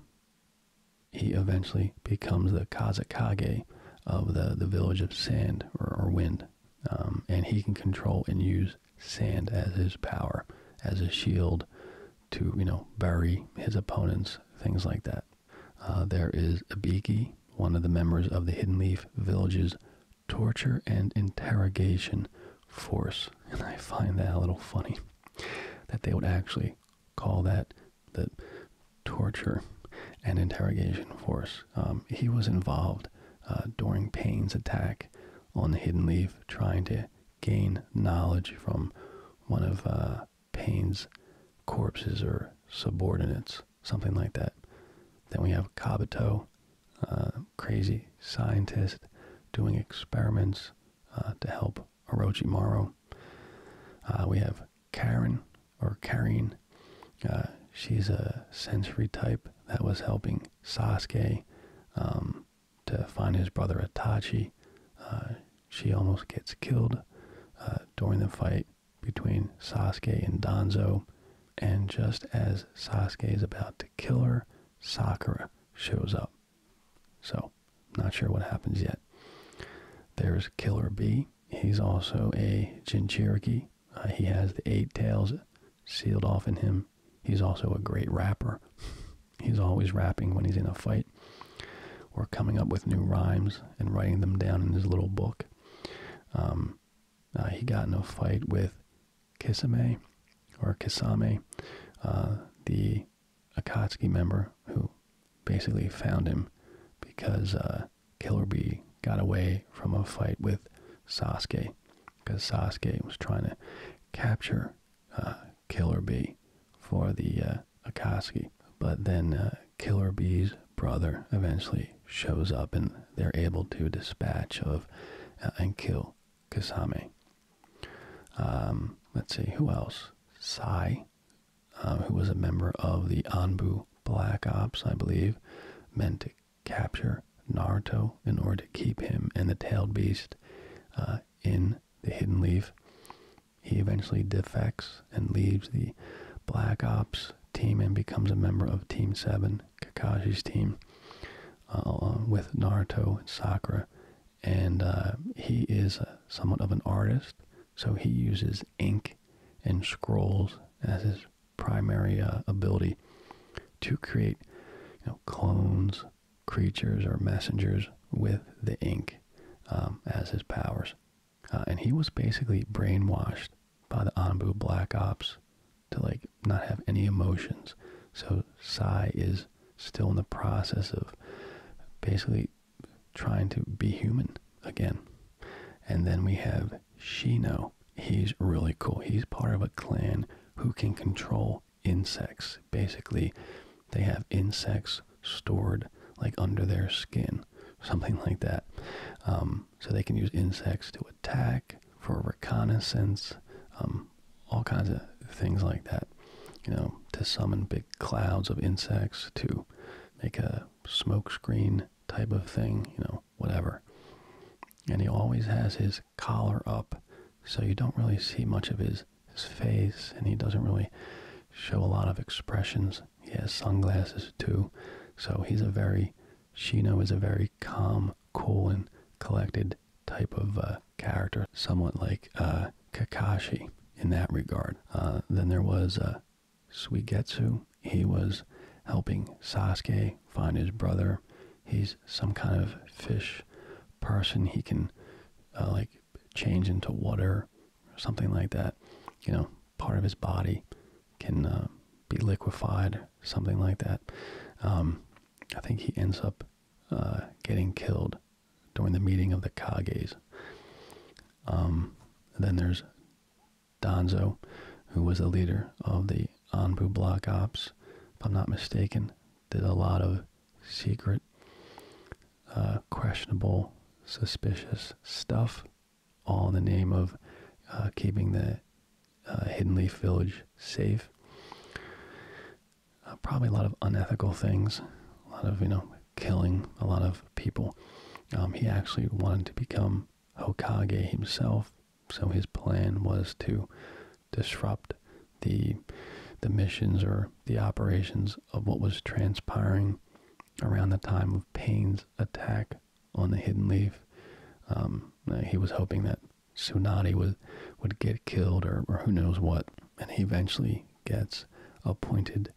A: he eventually becomes the Kazakage of the, the village of sand or, wind. Um, and he can control and use sand as his power, as a shield to, you know, bury his opponents, things like that. Uh, there is Ibiki, one of the members of the Hidden Leaf Village's torture and interrogation force. And I find that a little funny that they would actually call that the torture and interrogation force. Um, he was involved uh, during Payne's attack on the Hidden Leaf, trying to gain knowledge from one of uh, Payne's corpses or subordinates something like that. Then we have Kabuto, uh, crazy scientist doing experiments uh, to help Orochimaru. Uh, we have Karen or Karin. Uh, she's a sensory type that was helping Sasuke um, to find his brother Itachi. she almost gets killed during the fight between Sasuke and Danzo. And just as Sasuke is about to kill her, Sakura shows up. So, not sure what happens yet. There's Killer B. He's also a Jinchuriki. Uh, he has the eight tails sealed off in him. He's also a great rapper. [LAUGHS] he's always rapping when he's in a fight or coming up with new rhymes and writing them down in his little book. Um, uh, he got in a fight with Kisame or Kisame, uh, the Akatsuki member who basically found him because uh, Killer Bee got away from a fight with Sasuke because Sasuke was trying to capture Killer Bee for the Akatsuki. But then Killer Bee's brother eventually shows up and they're able to dispatch of uh, and kill Kasame. Um, let's see, who else? Sai, um, who was a member of the Anbu Black Ops, I believe, meant to capture Naruto in order to keep him and the tailed beast uh, in the Hidden Leaf. He eventually defects and leaves the Black Ops team and becomes a member of Team 7, Kakashi's team, uh, uh, with Naruto and Sakura. And uh, he is somewhat of an artist, so he uses ink and scrolls as his primary ability to create clones, creatures, or messengers with the ink um, as his powers. Uh, and he was basically brainwashed by the Anbu Black Ops to like not have any emotions. So Psy is still in the process of basically trying to be human again. And then we have Shino. He's really cool. He's part of a clan who can control insects. Basically, they have insects stored like under their skin, [LAUGHS] something like that. Um, so they can use insects to attack for reconnaissance, um, all kinds of things like that. You know, to summon big clouds of insects, to make a smokescreen type of thing, you know, whatever. And he always has his collar up, so you don't really see much of his face, and he doesn't really show a lot of expressions. He has sunglasses too, so he's a very Shino is a very calm, cool, and collected type of uh, character, somewhat like uh, Kakashi in that regard. Uh, then there was Suigetsu. He was helping Sasuke find his brother. He's some kind of fish person. He can like change into water or something like that. You know, part of his body can uh, be liquefied, something like that. Um, I think he ends up uh, getting killed during the meeting of the Kages. Um, then there's Donzo, who was the leader of the Anbu Block Ops, if I'm not mistaken, did a lot of secret, uh, questionable, suspicious stuff all in the name of uh, keeping the uh, Hidden Leaf Village safe. Uh, probably a lot of unethical things, a lot of, you know, killing a lot of people. Um, he actually wanted to become Hokage himself, so his plan was to disrupt the the missions or the operations of what was transpiring around the time of Payne's attack on the hidden leaf. Um, uh, he was hoping that Tsunade would would get killed or, or who knows what, and he eventually gets appointed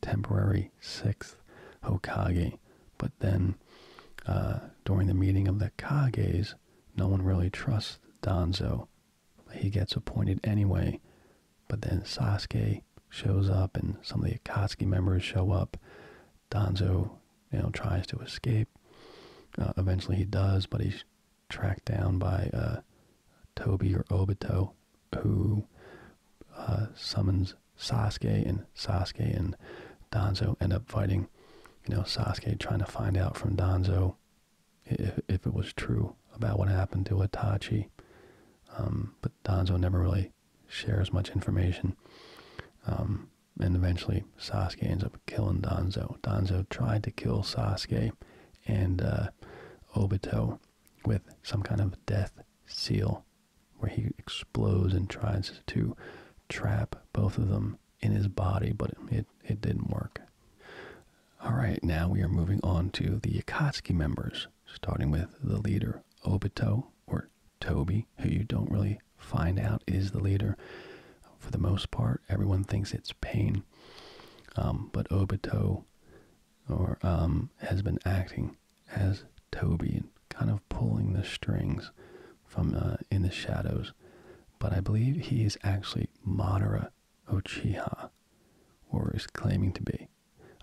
A: temporary sixth Hokage. But then, uh, during the meeting of the Kages, no one really trusts Danzo. He gets appointed anyway. But then Sasuke shows up, and some of the Akatsuki members show up. Donzo, you know, tries to escape. Uh, eventually he does, but he's tracked down by uh, Toby or Obito, who uh, summons Sasuke, and Sasuke and Donzo end up fighting. You know, Sasuke trying to find out from Donzo if, if it was true about what happened to Itachi. Um, but Donzo never really shares much information. Um, and eventually Sasuke ends up killing Danzo. Danzo tried to kill Sasuke and uh, Obito with some kind of death seal where he explodes and tries to trap both of them in his body, but it, it didn't work. Alright, now we are moving on to the Akatsuki members, starting with the leader Obito, or Toby, who you don't really find out is the leader. For the most part, everyone thinks it's Pain, um, but Obito or um, has been acting as Toby, kind of pulling the strings from uh, in the shadows. But I believe he is actually Madara Uchiha, or is claiming to be.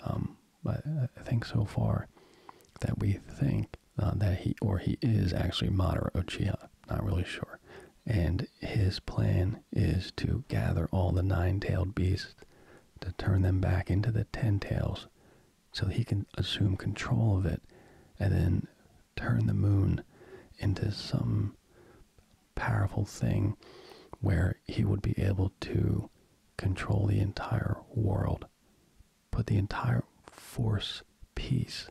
A: Um, but I think so far that we think uh, that he or he is actually Madara Uchiha. Not really sure. And his plan is to gather all the nine-tailed beasts to turn them back into the ten tails, so he can assume control of it, and then turn the moon into some powerful thing where he would be able to control the entire world put the entire force piece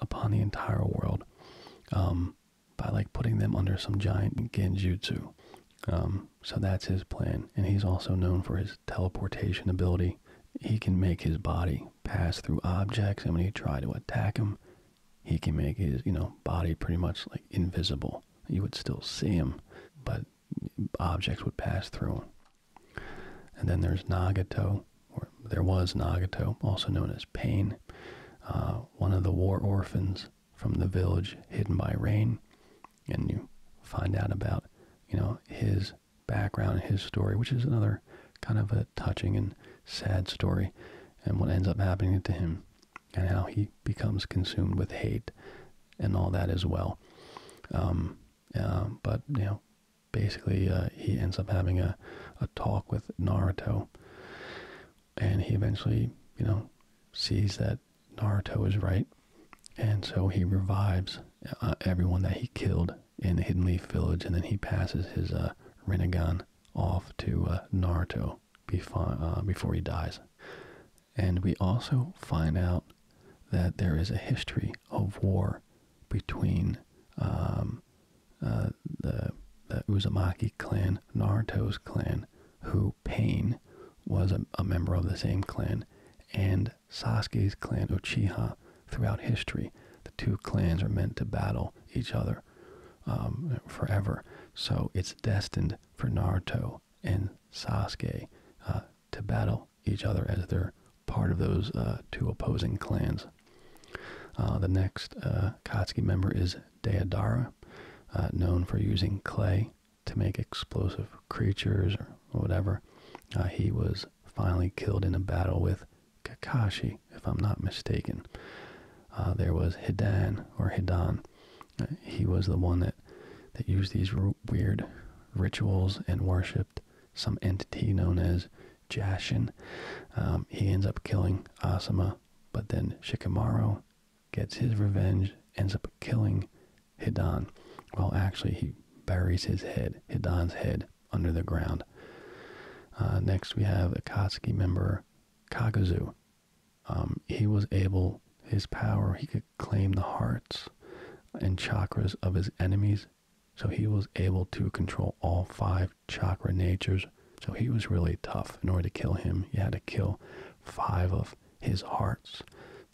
A: upon the entire world um, by like putting them under some giant genjutsu. Um, so that's his plan, and he's also known for his teleportation ability. He can make his body pass through objects, and when he try to attack him, he can make his you know body pretty much like invisible. You would still see him, but objects would pass through. And then there's Nagato, or there was Nagato, also known as Pain, uh, one of the war orphans from the village hidden by rain. And you find out about, you know, his background his story, which is another kind of a touching and sad story, and what ends up happening to him, and how he becomes consumed with hate and all that as well. Um, uh, but, you know, basically uh, he ends up having a, a talk with Naruto and he eventually, you know, sees that Naruto is right and so he revives uh, everyone that he killed in the Hidden Leaf Village and then he passes his uh, off to uh, Naruto before, before he dies. And we also find out that there is a history of war between um, uh, the, the Uzumaki clan, Naruto's clan, who Pain was a, member of the same clan, and Sasuke's clan, Uchiha, throughout history. The two clans are meant to battle each other um, forever. So it's destined for Naruto and Sasuke uh, to battle each other as they're part of those uh, two opposing clans. Uh, the next uh, Katsuki member is Deodara, known for using clay to make explosive creatures or whatever. he was finally killed in a battle with Kakashi, if I'm not mistaken. there was Hidan, or Hidan. he was the one that, that used these weird rituals and worshipped some entity known as Jashin. Um, he ends up killing Asuma, but then Shikamaru gets his revenge, ends up killing Hidan. Well, actually, he buries his head, Hidan's head, under the ground. Uh, next, we have Akatsuki member Kaguzu. Um, he was able, his power, he could claim the hearts and chakras of his enemies so he was able to control all five chakra natures. So he was really tough. In order to kill him, you had to kill five of his hearts,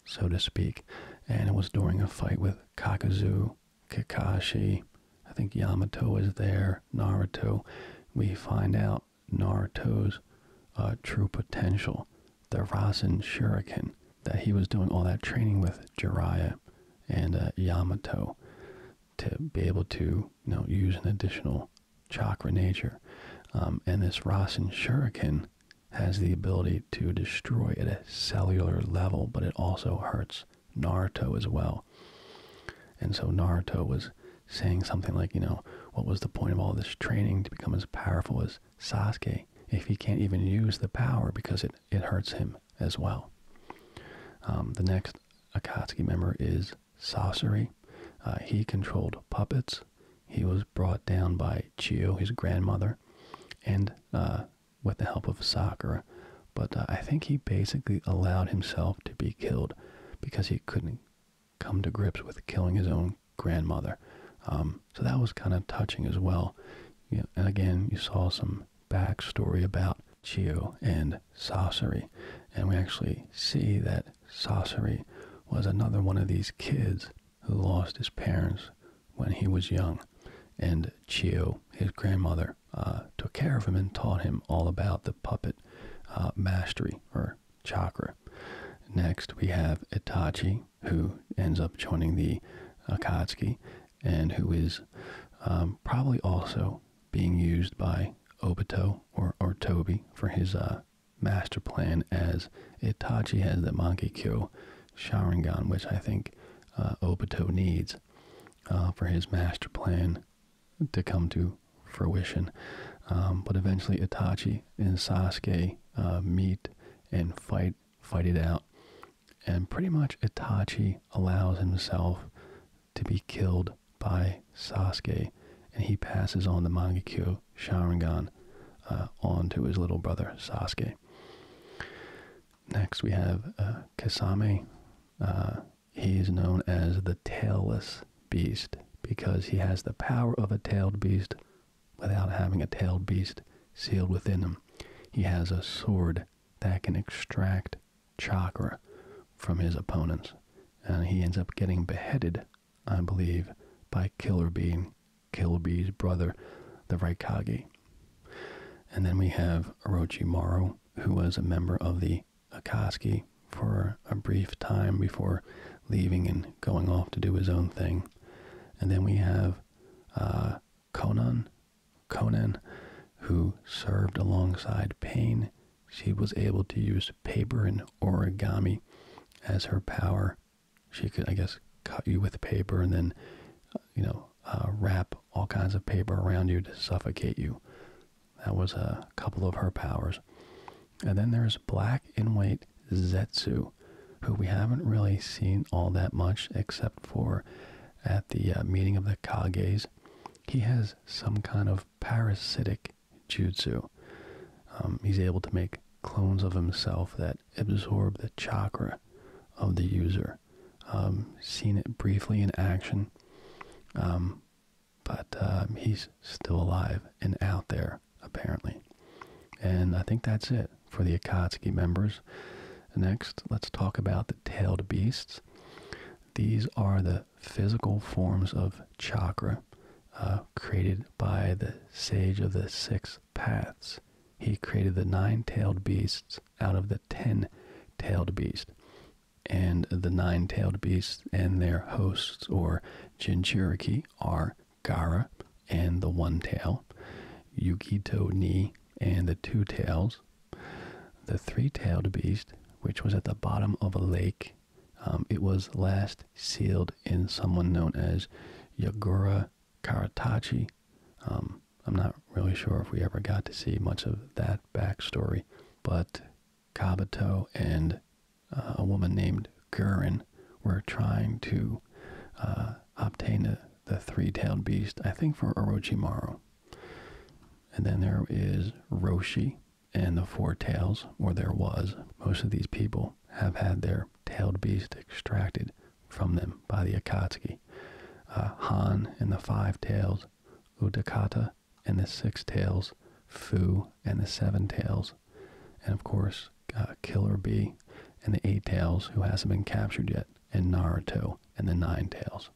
A: so to speak. And it was during a fight with Kakazu, Kakashi. I think Yamato is there, Naruto. We find out Naruto's uh, true potential, the Rasen Shuriken that he was doing all that training with Jiraiya and uh, Yamato to be able to you know use an additional chakra nature. Um, and this Rasen Shuriken has the ability to destroy at a cellular level, but it also hurts Naruto as well. And so Naruto was saying something like, you know, what was the point of all this training to become as powerful as Sasuke if he can't even use the power because it it hurts him as well. Um, the next Akatsuki member is Sasori. Uh, he controlled puppets. He was brought down by Chio, his grandmother, and uh, with the help of Sakura. But uh, I think he basically allowed himself to be killed because he couldn't come to grips with killing his own grandmother. Um, so that was kind of touching as well. and again, you saw some backstory about Chio and Sasori. And we actually see that Sasori was another one of these kids who lost his parents when he was young. And Chio, his grandmother, uh, took care of him and taught him all about the puppet uh, mastery or chakra. Next, we have Itachi, who ends up joining the Akatsuki and who is um, probably also being used by Obito or, or Toby for his uh, master plan as Itachi has the Mangekyou Sharingan, which I think uh, Obito needs uh, for his master plan to come to fruition. Um, but eventually Itachi and Sasuke meet and fight fight it out. And pretty much Itachi allows himself to be killed by Sasuke, and he passes on the Mangekyo Sharingan uh, on to his little brother Sasuke. Next, we have uh, uh he is known as the Tailless Beast because he has the power of a tailed beast without having a tailed beast sealed within him. He has a sword that can extract chakra from his opponents. And he ends up getting beheaded, I believe, by Killer Bee, Killer Bee's brother, the Raikage. And then we have Orochimaru, who was a member of the Akashi for a brief time before leaving and going off to do his own thing. And then we have Konan. Uh, Conan, who served alongside Pain, she was able to use paper and origami as her power. She could, I guess, cut you with paper and then, uh, you know, uh, wrap all kinds of paper around you to suffocate you. That was a couple of her powers. And then there's black and white Zetsu, who we haven't really seen all that much except for at the uh, meeting of the Kages, he has some kind of parasitic jutsu. Um, he's able to make clones of himself that absorb the chakra of the user. Um, seen it briefly in action, um, but he's still alive and out there apparently. And I think that's it for the Akatsuki members. Next, let's talk about the tailed beasts. These are the physical forms of chakra uh, created by the sage of the six paths. He created the nine tailed beasts out of the ten tailed beast. And the nine tailed beasts and their hosts, or Jinchuriki, are Gara and the One Tail, Yukito ni and the two tails, the three tailed beast, which was at the bottom of a lake. Um, it was last sealed in someone known as Yagura Karatachi. Um, I'm not really sure if we ever got to see much of that backstory, but Kabuto and uh, a woman named Gurin were trying to uh, obtain the, three-tailed beast, I think for Orochimaru. And then there is Roshi and the Four Tails, or there was. Most of these people have had their tailed beast extracted from them by the Akatsuki. Uh, Han and the Five Tails, Udakata and the Six Tails, Fu and the Seven Tails, and of course, uh, Killer Bee and the Eight Tails, who hasn't been captured yet and Naruto and the Nine Tails.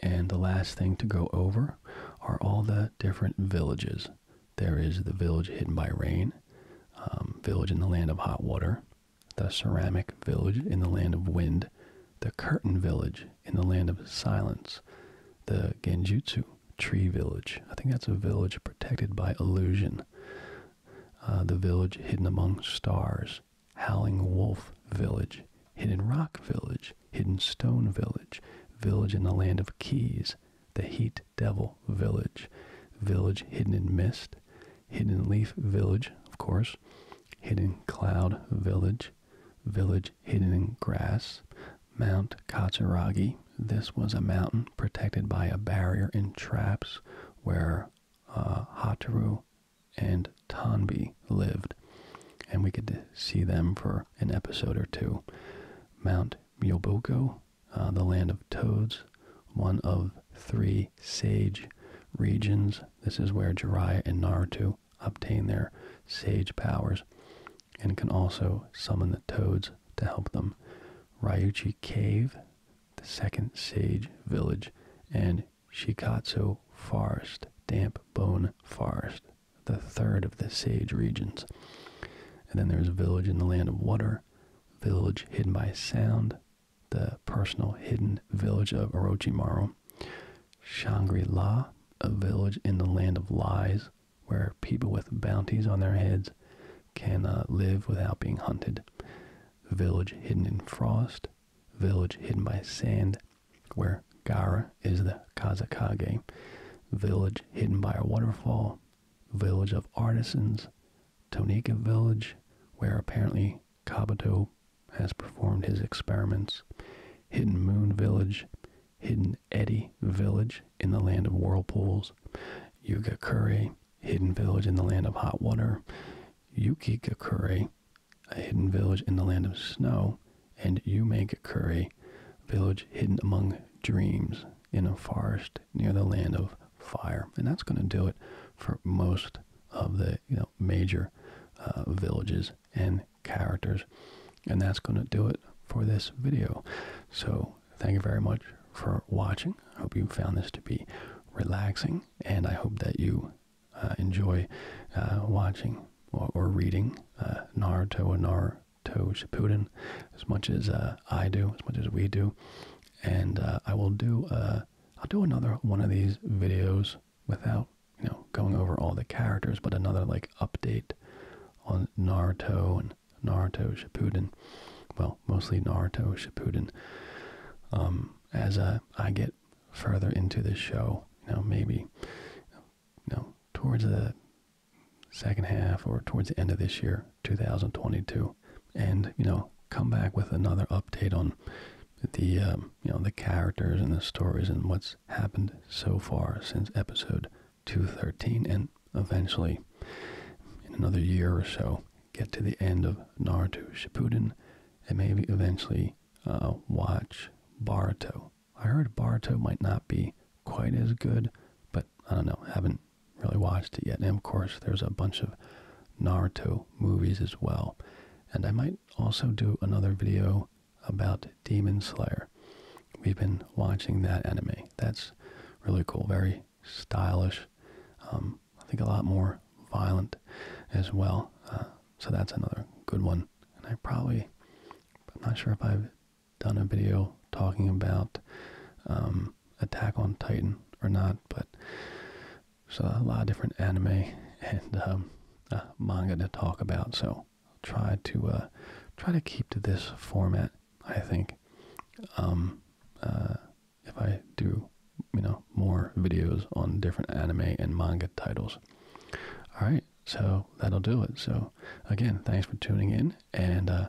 A: And the last thing to go over are all the different villages. There is the village hidden by rain, um, village in the land of hot water, the ceramic village in the land of wind, the curtain village in the land of silence, the Genjutsu tree village. I think that's a village protected by illusion. Uh, the village hidden among stars, Howling Wolf Village, Hidden Rock Village, Hidden Stone Village, Village in the Land of Keys, The Heat Devil Village, Village Hidden in Mist, Hidden Leaf Village, of course, Hidden Cloud Village, Village Hidden in Grass, Mount Katsuragi. This was a mountain protected by a barrier and traps where uh, Hataru and Tonby lived, and we could see them for an episode or two. Mount Myoboko, uh, the land of toads, one of three sage regions. This is where Jiraiya and Naruto obtain their sage powers and can also summon the toads to help them. Ryuchi Cave, the second sage village, and Shikatsu Forest, Damp Bone Forest, the third of the Sage regions. And then there's a Village in the Land of Water, Village Hidden by Sound, the personal hidden village of Orochimaru, Shangri-La, a village in the Land of Lies, where people with bounties on their heads can uh, live without being hunted, Village Hidden in Frost, village hidden by sand, where Gara is the Kazakage, village hidden by a waterfall, village of artisans, Tonika village, where apparently Kabuto has performed his experiments, hidden moon village, hidden eddy village in the land of whirlpools, Yugakure, hidden village in the land of hot water, Yukikakure, a hidden village in the land of snow, and you make curry, village hidden among dreams in a forest near the land of fire. And that's going to do it for most of the you know major uh, villages and characters. And that's going to do it for this video. So thank you very much for watching. I hope you found this to be relaxing, and I hope that you uh, enjoy uh, watching or, reading uh, Naruto and Naruto Shippuden as much as I do, as much as we do, and I will do. I'll do another one of these videos without you know going over all the characters, but another like update on Naruto and Naruto Shippuden. Well, mostly Naruto Shippuden. Um, as I get further into this show. You know, maybe you know, towards the second half or towards the end of this year, 2022, and you know, come back with another update on the um, you know the characters and the stories and what's happened so far since episode 213, and eventually in another year or so get to the end of Naruto Shippuden, and maybe eventually uh, watch Baruto. I heard Baruto might not be quite as good, but I don't know, haven't really watched it yet. And of course, there's a bunch of Naruto movies as well. And I might also do another video about Demon Slayer. We've been watching that anime. That's really cool, very stylish. Um, I think a lot more violent as well. Uh, so that's another good one. And I probably, I'm not sure if I've done a video talking about um, Attack on Titan or not, but there's a lot of different anime [LAUGHS] and um, uh, manga to talk about. So try to uh, try to keep to this format. I think um, uh, if I do you know, more videos on different anime and manga titles. All right, so that'll do it. So, again, thanks for tuning in, and uh,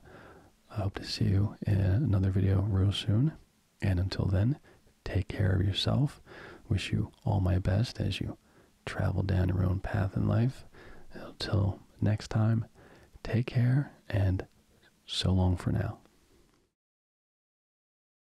A: I hope to see you in another video real soon. And until then, take care of yourself. Wish you all my best as you travel down your own path in life. Until next time, take care and so long for now.